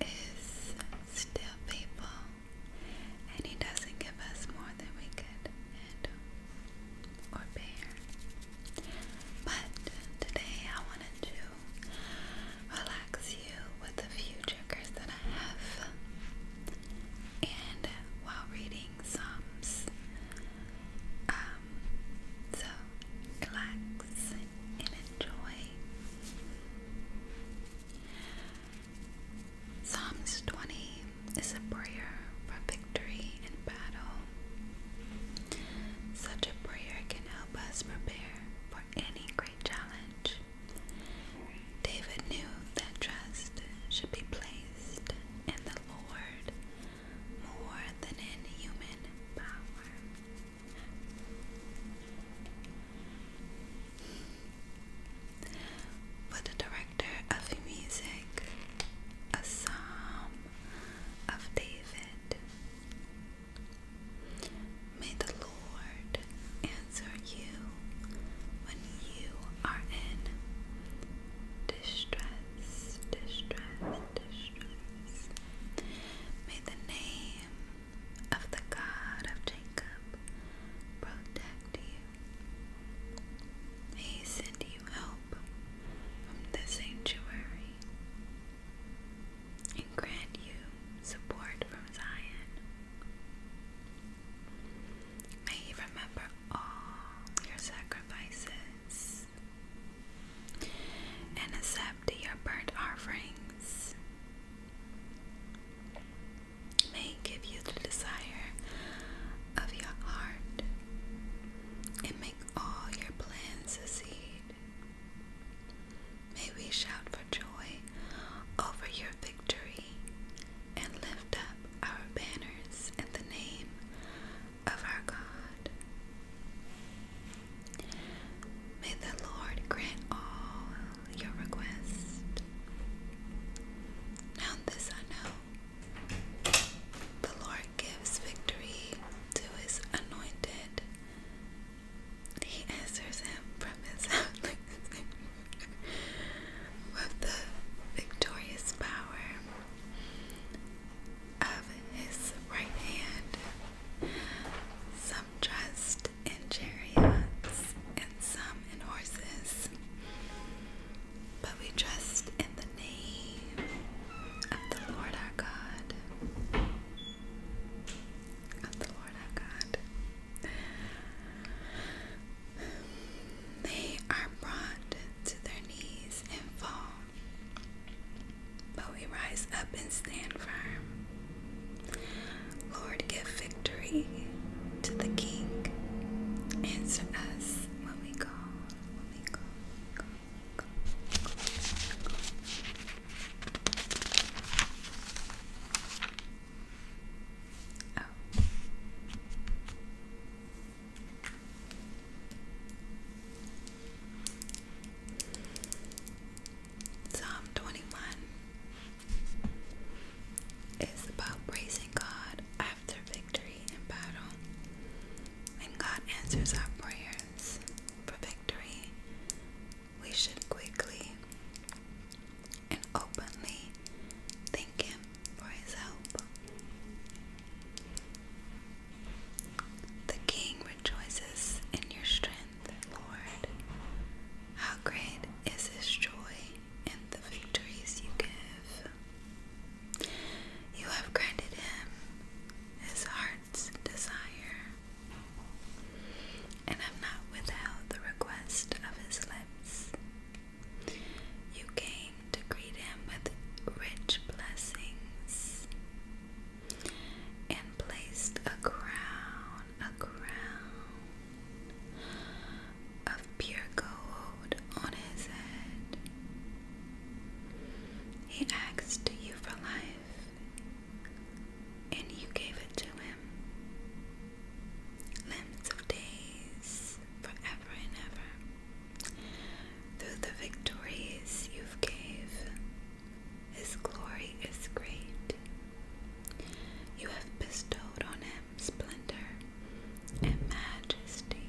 is still people, and He doesn't give us more than we could handle or bear. But today I wanted to relax you with a few triggers that I have and while reading Psalms. Um, so relax and enjoy. Psalms 20 is a prayer for victory in battle. Such a prayer can help us prepare for any great challenge. David knew that trust should be placed in the Lord more than in human power. For the director of music, a psalm of David. May the Lord answer you when you are in distress, distress, distress. May the name of the God of Jacob protect you. May he send you help from the sanctuary and grant you support from Zion. May He remember all your sacrifices and accept your burnt offerings. May He give you the desire of your heart and make all your plans succeed. May we shout for joy over your victory and lift up our banners in the name of our God. May the Lord grant all your requests. Now, this I know the Lord gives victory to his anointed, he answers him from his house with the victorious power of his right hand. Some trust in chariots and some in horses, but we trust in the name of the Lord our God. Of the Lord our God. They are brought to their knees and fall, but we rise up and stand firm. Lord, give victory to the King. Answer us when we call. Oh. Psalm 21 is about praising God after victory in battle. When God answers our prayers for victory, we should quickly and openly thank him for his help. The king rejoices in your strength, Lord. How great is his joy in the victories you give. You have granted him his heart's desire and have not withheld the request of his lips. You came to greet him with rich blessings and placed a crown, a crown of pure gold on his head. He asked you for life, and you gave it to him limits of days, forever and ever. Through the victories you've gave, His glory is great. You have bestowed on Him splendor and majesty.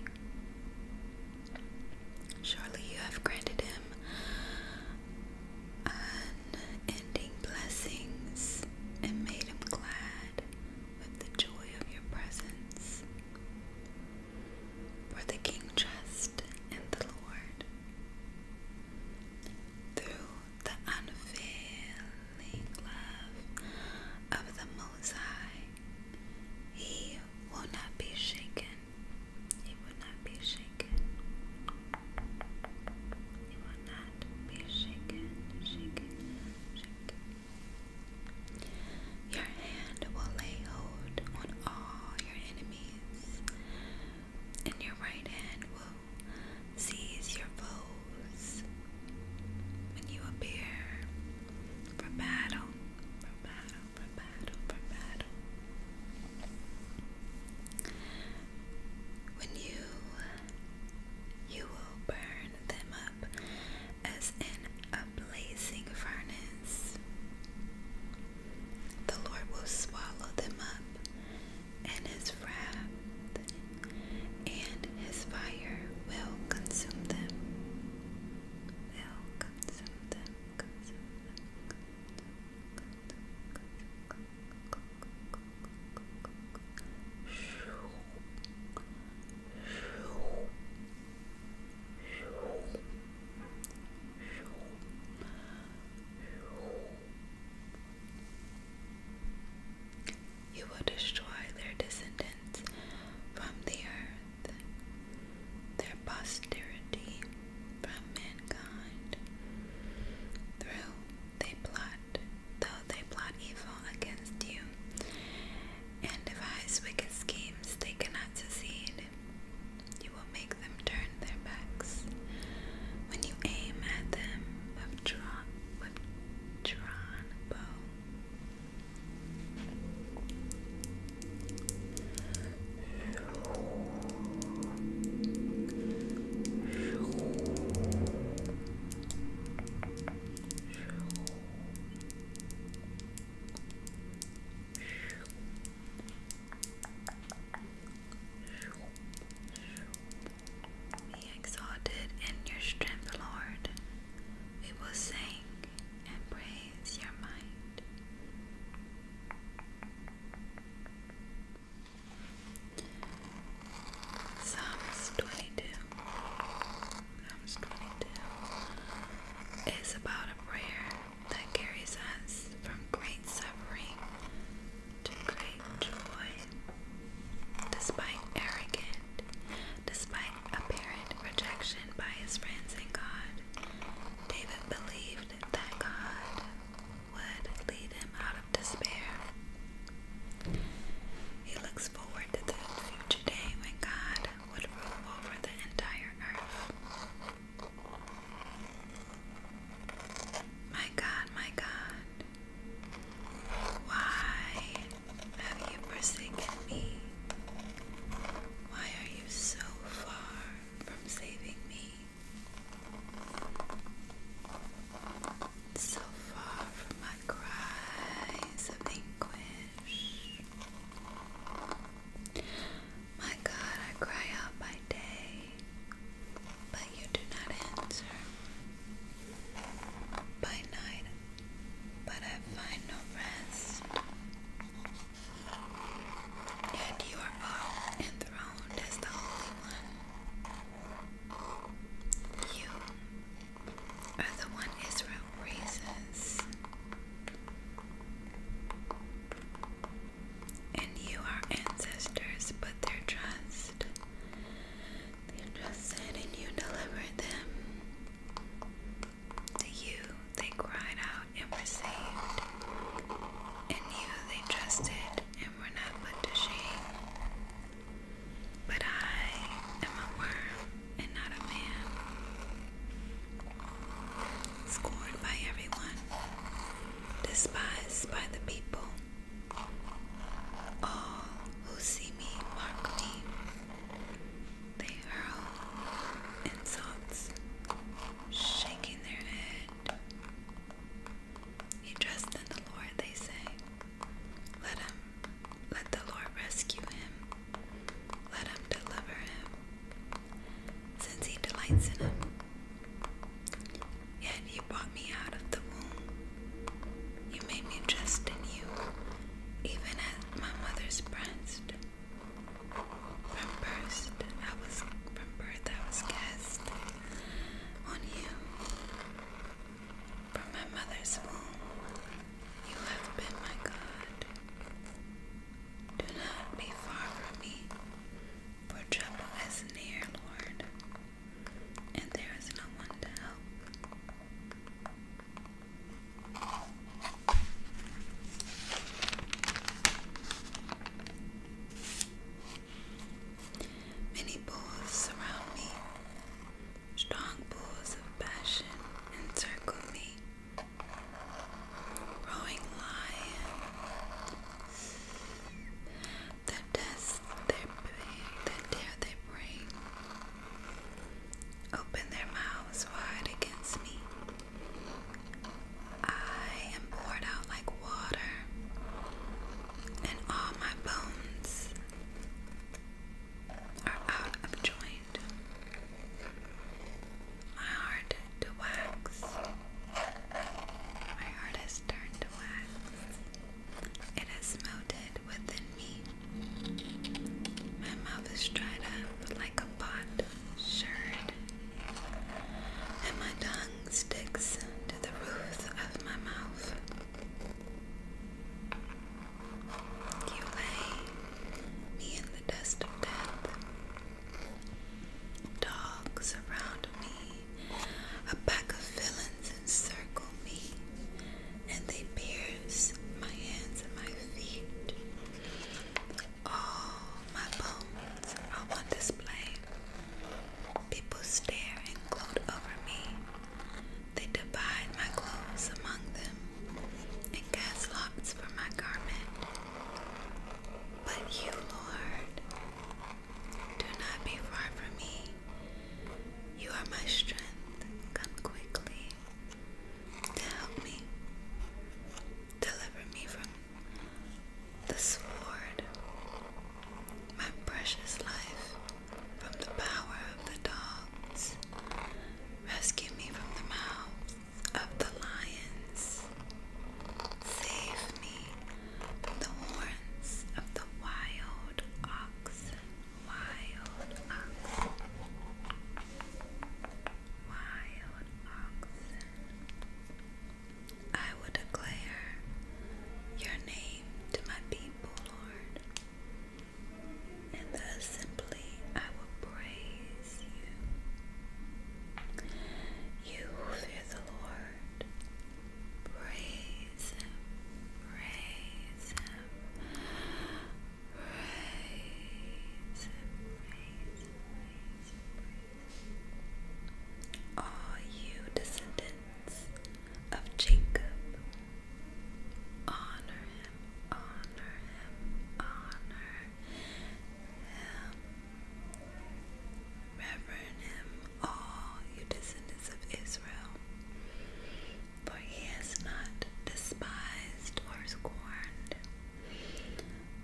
Surely you have granted Him unending blessings and made Him glad with the joy of your presence. For the king trusts in the Lord. Through the unfailing love of the Most he will not be shaken. He will not be shaken. He will not be shaken, shaken, shaken. Your hand will lay hold on all your enemies, and your right hand will seize your foes. When you appear for battle, for battle, for battle, for battle, when you you will burn them up as in a blazing furnace. The Lord will swallow them up in his wrath, and his fire will consume them. You will destroy their descendants from the earth, their posterity from mankind. Through they plot though they plot evil against you, and devise wicked schemes, they cannot succeed. You will make them turn their backs. When you aim at them with drawn, with drawn bow, be exalted in your strength, Lord. We will sing and praise your might. Psalm 22. 22 is about a prayer that carries us from great suffering to great joy. Despite arrogant, despite apparent rejection by his friends and God, David believed that God would lead him out of despair he looks forward to the future day when God would rule over the entire earth. My God, my God, why have you forsaken me? Why are you so far from saving me? so far from my cries of anguish. My God, I cry out by day, but you do not answer. By night, but I find no rest. Yet you are all enthroned as the Holy One. You other one is round raisins. And you are ancestors, but their trust. They trusted and you delivered them. To you they cried out and were saved. In you they trusted and were not put to shame. But I am a worm and not a man, scorned by everyone, despised by the people. All who see me mark me. They hurl insults, shaking their head. You trust in the Lord, they say. Let him, let the Lord rescue him. Let him deliver him, since he delights in him. Yet you brought me out of the womb. You made me trust in you, even at my mother's breast. From birth, I was from birth I was cast on you. From my mother's womb, you have been my God. Do not be far from me, for trouble is near, Lord, and there is no one to help. Many bulls surround me, Strong pools of passion encircle me. Roaring lions that test their pain, that dare their brain. Open their mouths wide against me. I am poured out like water, and all my bones are out of joint. My heart to wax. My heart has turned to wax. It has melted within me. My mouth is dried up like a pot And my tongue sticks to the roof of my mouth. You lay me in the dust of death. Dogs surround me, a pack of villains encircle me, and they pierce my hands and my feet. All my bones are on display. People stare and gloat over me, they divide my clothes among them and cast lots for my garment. But you, Lord, do not be far from me. You are my strength. Come quickly to help me. Deliver me from the sword my precious life from the power of the dogs. Rescue me from the mouths of the lions. Save me from the horns of the wild oxen. Wild oxen. Wild oxen. I will declare your name to my people, Lord and thus simply I will praise you. You fear the Lord, praise Him, praise Him, praise Him, praise Him, you descendants of Jacob. Honor him, honor him, honor him. Reverend him, all you descendants of Israel, for he has not despised or scorned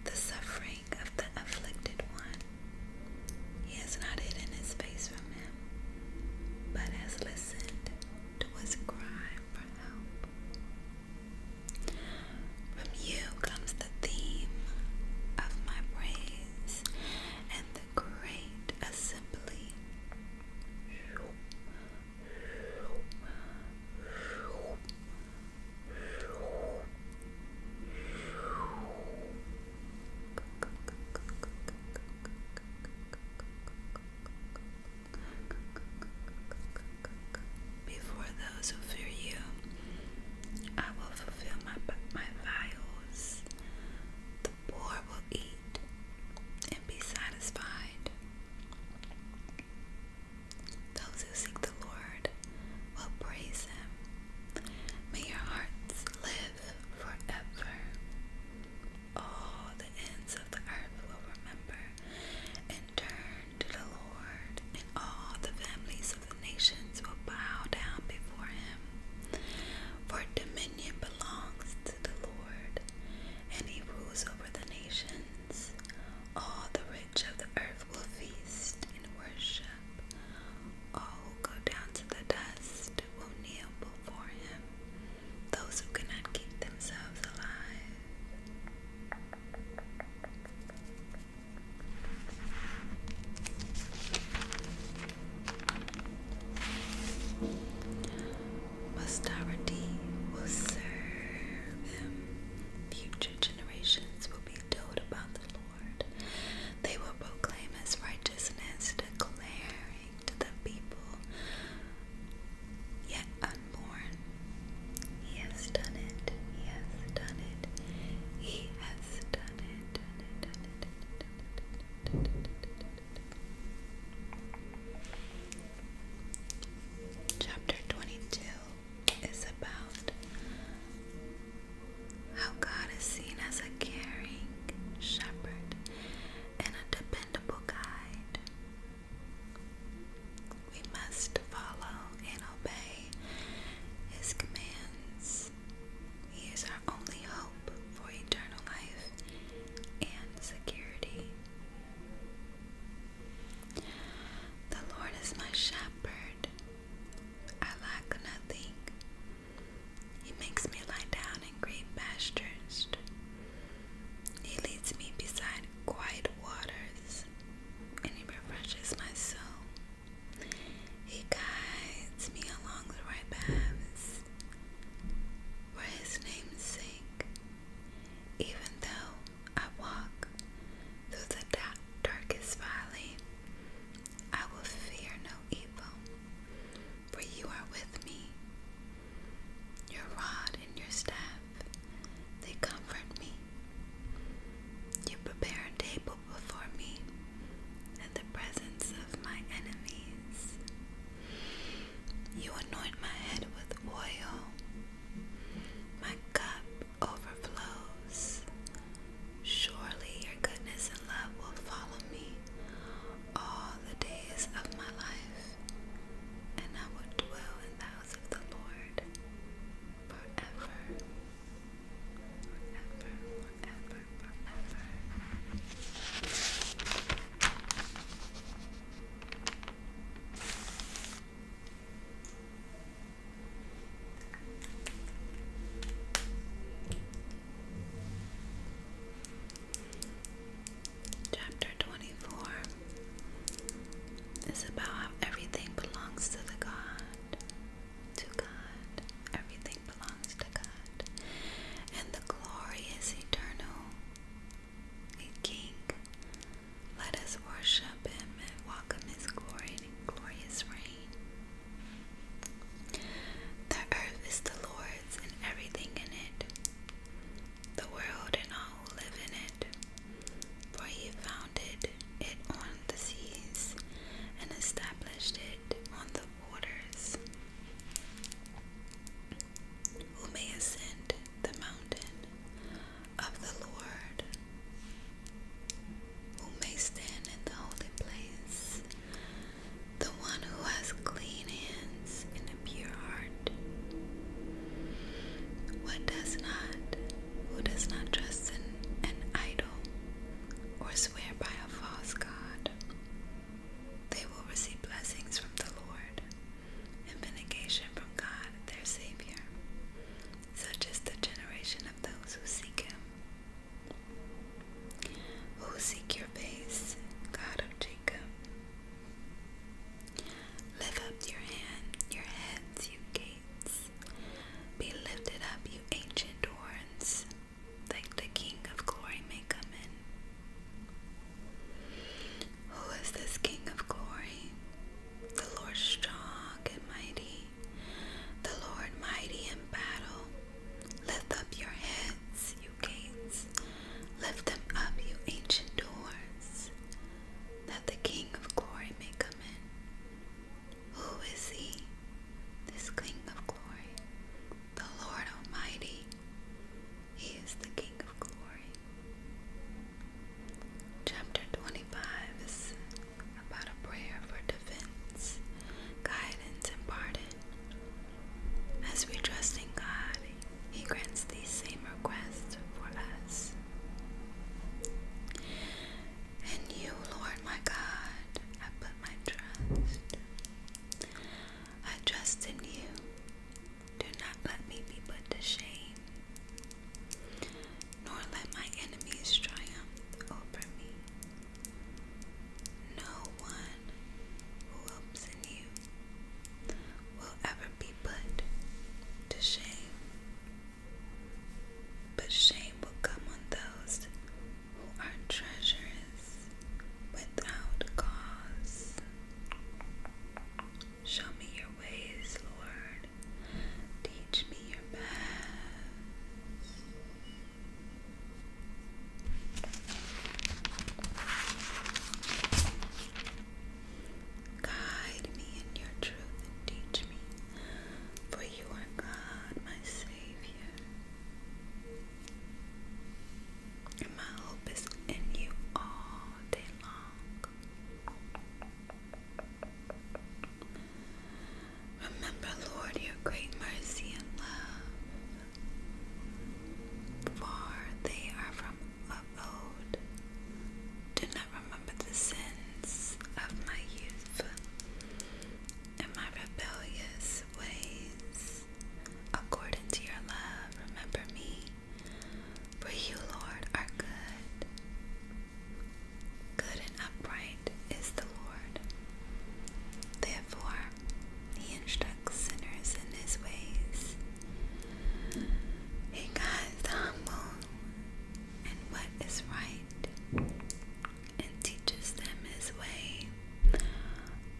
the suffering of the afflicted one. He has not hidden his face from him but has listened to his cry for help. From you comes the theme of my praise and the great assembly. Before those who you, I will fulfill my my vials. The poor will eat and be satisfied. Those who seek the Lord will praise Him. May your hearts live forever all the ends of the earth will remember and turn to the Lord, and all the families of the nations will bow down before him. For dominion belongs to the Lord, and he rules over the nations. All the rich of the earth will feast and worship. All who go down to the dust will kneel before him, those who cannot keep themselves alive. Posterity will serve him. Future generations will be told about the Lord. They will proclaim his righteousness, declaring to the people yet unborn. He has done it. He has done it. He has Done it. Chapter 22 is about how God is seen as a caring shepherd and a dependable guide. We must follow and obey His commands. He is our only hope for eternal life and security. The Lord is my shepherd, I lack nothing. He makes me lie down in green pastures. He leads me beside quiet waters, and he refreshes my soul. He guides me along the right paths for his name's sake. Even though I walk through the darkest valley, I will fear no evil, for you are with me. Your rod and your staff, they comfort me. You prepare a table before me in the presence of my enemies. You anoint my head with oil. My cup overflows. Surely your goodness and love will follow me all the days of my life, and I will dwell in the house of the Lord forever, forever, forever, forever. Chapter 24 is about how everything belongs to the God, to God. Everything belongs to God. And the glory is eternal. king. Let us worship him and welcome his glory glorious reign. The earth is the Lord's and everything in it, the world and all who live in it. For he founded it on the seas and established it on the waters. Who may ascend the mountain of the Lord? Who may stand in the holy place the one who has clean hands and a pure heart. What does not, who does not trust in an idol or swear by a false god, they will receive blessings from the Lord and vindication from God their Savior, such is the generation of those who seek Him. Who oh, seek your face, God of Jacob? Lift up your hand, your heads, you gates. Be lifted up, you ancient horns, like the King of glory may come in. Who is this King of glory? The Lord strong and mighty, the Lord mighty in battle. Lift up your heads, you gates, lift them up, you ancient doors, that the King of glory may come in. Who is he, this King of glory? The Lord Almighty. He is the King of glory. Chapter 25 is about a prayer for defense, guidance, and pardon. As we trust in God, He grants these same requests for us. And you, Lord my God, I put my trust. I trust in you. Do not let me be put to shame, nor let my enemies triumph over me. No one who hopes in you will ever be put to shame, but shame will come on those who are treacherous without cause. Show me your ways, Lord. Teach me your paths. Guide me in your truth and teach me, for you are God, my Savior. my hope is in you all day long. Remember, Lord, your great mercy and love, for they are from of old. Do not remember the sins of my youth and my rebellious ways. According to your love, remember me, for you, Lord, are good. Good and upright is the Lord. Therefore, he instructs sinners in his ways. He guides the humble in what is right and teaches them his way.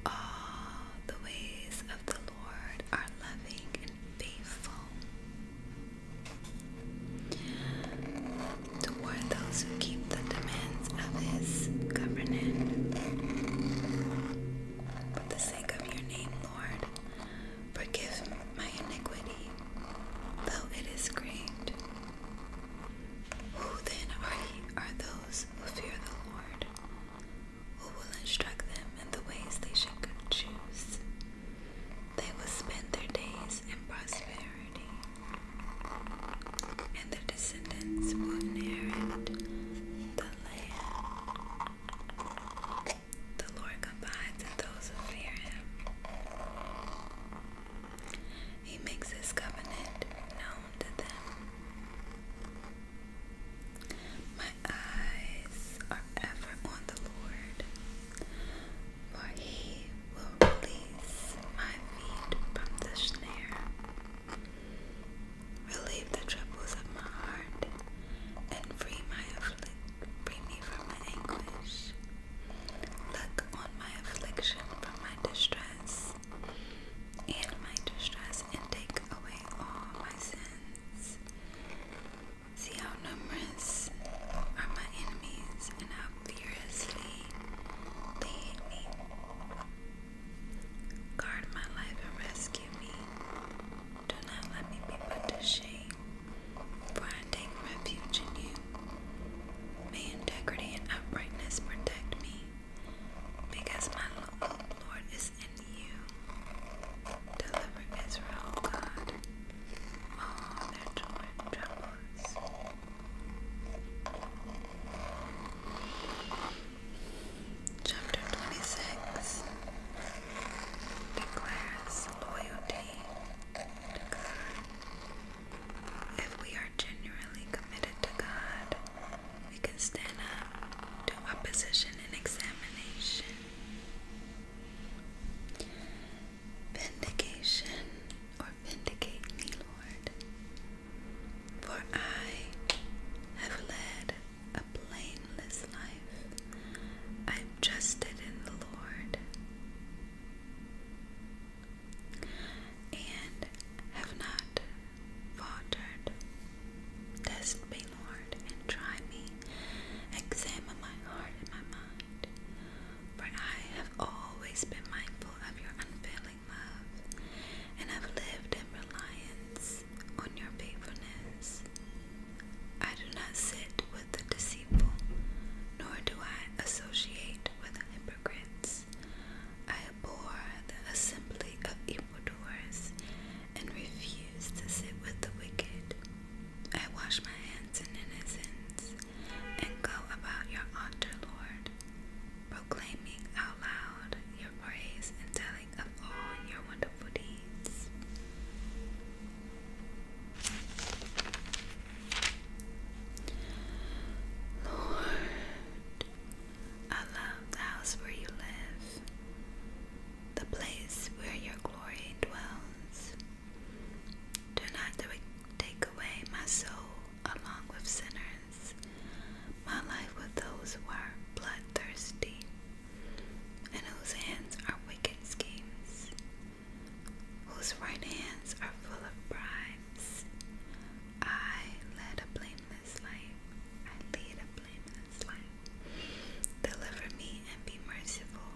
All the ways of the Lord are loving and faithful toward those who keep the demands of his government, but the sake of your name, Lord, forgive my iniquity, though it is great. Who then are, he, are those who fear the Lord? Who will instruct them in the ways they should choose? They will spend their days in prosperity and the descendants will inherit the land. The Lord abides in those who fear him. He makes his covenant known to them. My eyes are ever on the Lord, for he will release my feet from the snare Relieve the troubles of my heart and free my afflict, free me from my anguish. Look on my affliction from my distress and my distress and take away all my sins. See how numerous are my enemies and how furiously they hate me. Guard my life and rescue me. Do not let me be put to shame, for I take refuge in you. May integrity and uprightness protect me, because my Lord, is in you. Deliver Israel, God, all their joy and Chapter 26 declares loyalty to God. If we are genuinely committed to God, we can stand up to opposition and examination. Vindication or vindicate me, Lord. For I have led a blameless life. I've trusted in the Lord and have not faltered. Test me, Lord, and try me. Examine my heart and my mind. For I have always been mindful of your unfailing unfailing love have lived in reliance on your faithfulness. I do not sit with the deceitful, nor do I associate with hypocrites. I abhor the assembly of evildoers and refuse to sit with the wicked. I wash my hands in innocence and go about your altar, Lord proclaiming out loud your praise and telling of all your wonderful deeds. Lord, I love the house where you live, the place where your glory dwells. Do not take away my soul along with sinners parents. My life with those who are bloodthirsty and whose hands are wicked schemes, whose right hands are full of bribes. I lead a blameless life. I lead a blameless life. Deliver me and be merciful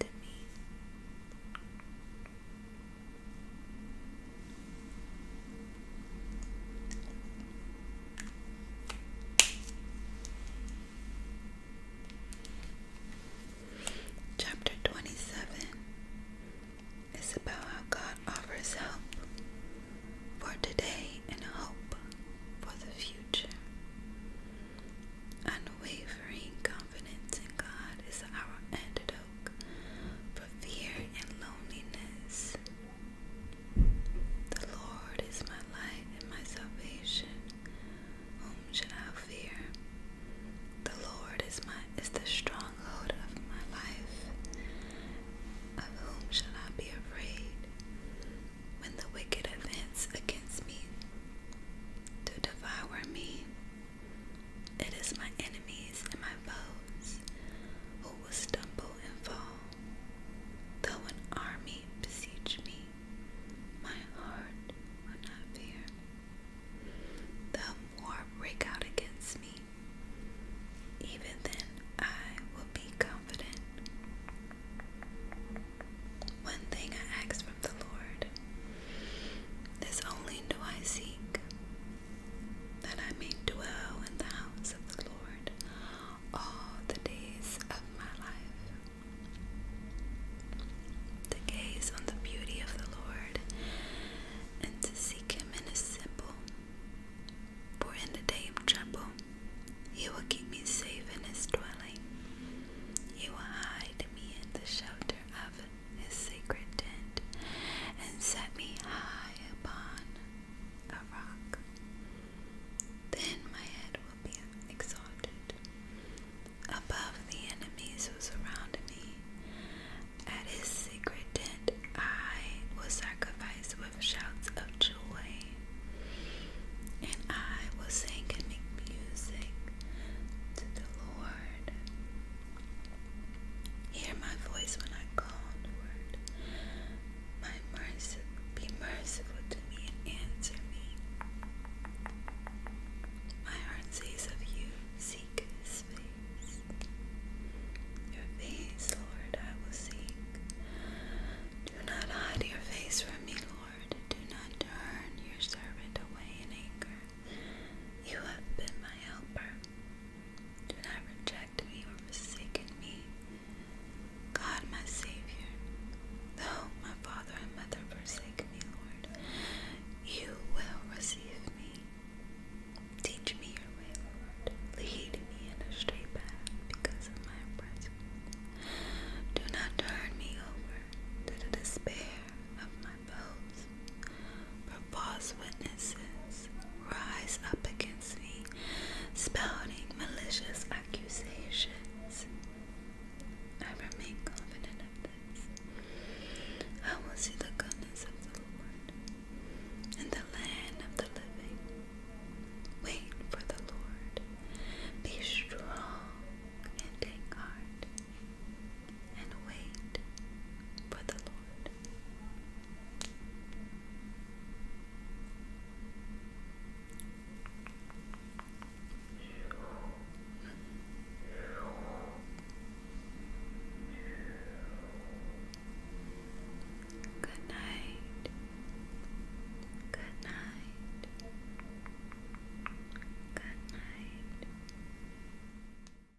to me. Chapter 27 is about how God offers help for today and hope for the future. Unwavering confidence in God is our antidote for fear and loneliness. The Lord is my light and my salvation. Whom should I fear? The Lord is my is the stronghold of my life. Of whom shall I be afraid? When the wicked advance against me to devour me, it is my enemies and my foes who will stumble and fall. Though an army besiege me, my heart will not fear. The war break out against me. Even then, I will be confident. One thing I ask from the Lord, this only do I seek, that I may dwell in the house of the Lord all the days of my life, to gaze on the beauty of the Lord and to seek him in his temple. For in the day of trouble, he will keep me safe in his dwelling. He will hide me in the shelter of His his sacred tent and set me high upon a rock. Then my head will be exalted above the enemies who surround me. At his sacred tent, I will sacrifice with shouts of joy, and I will sing and make music to the Lord. Hear my voice when I call on be merciful to me and answer me. My heart says of you, seek his face. Your face, Lord, I will seek. Do not hide your face from me, Lord. Do not turn your servant away in anger. You have been my helper. Do not reject me or forsaken me. God, my Savior, though my father and mother forsake me, Lord, you will receive me. Teach me your way, Lord. Lead me in a straight path because of my oppressors. Do not turn me over to the despair of my bows. false witnesses rise up against me, spouting malicious accusations. I remain confident of this. I will see the goodness of the Lord and the land of the living. Wait for the Lord. Be strong and take heart, and wait for the Lord. Good night. Good night. Good night.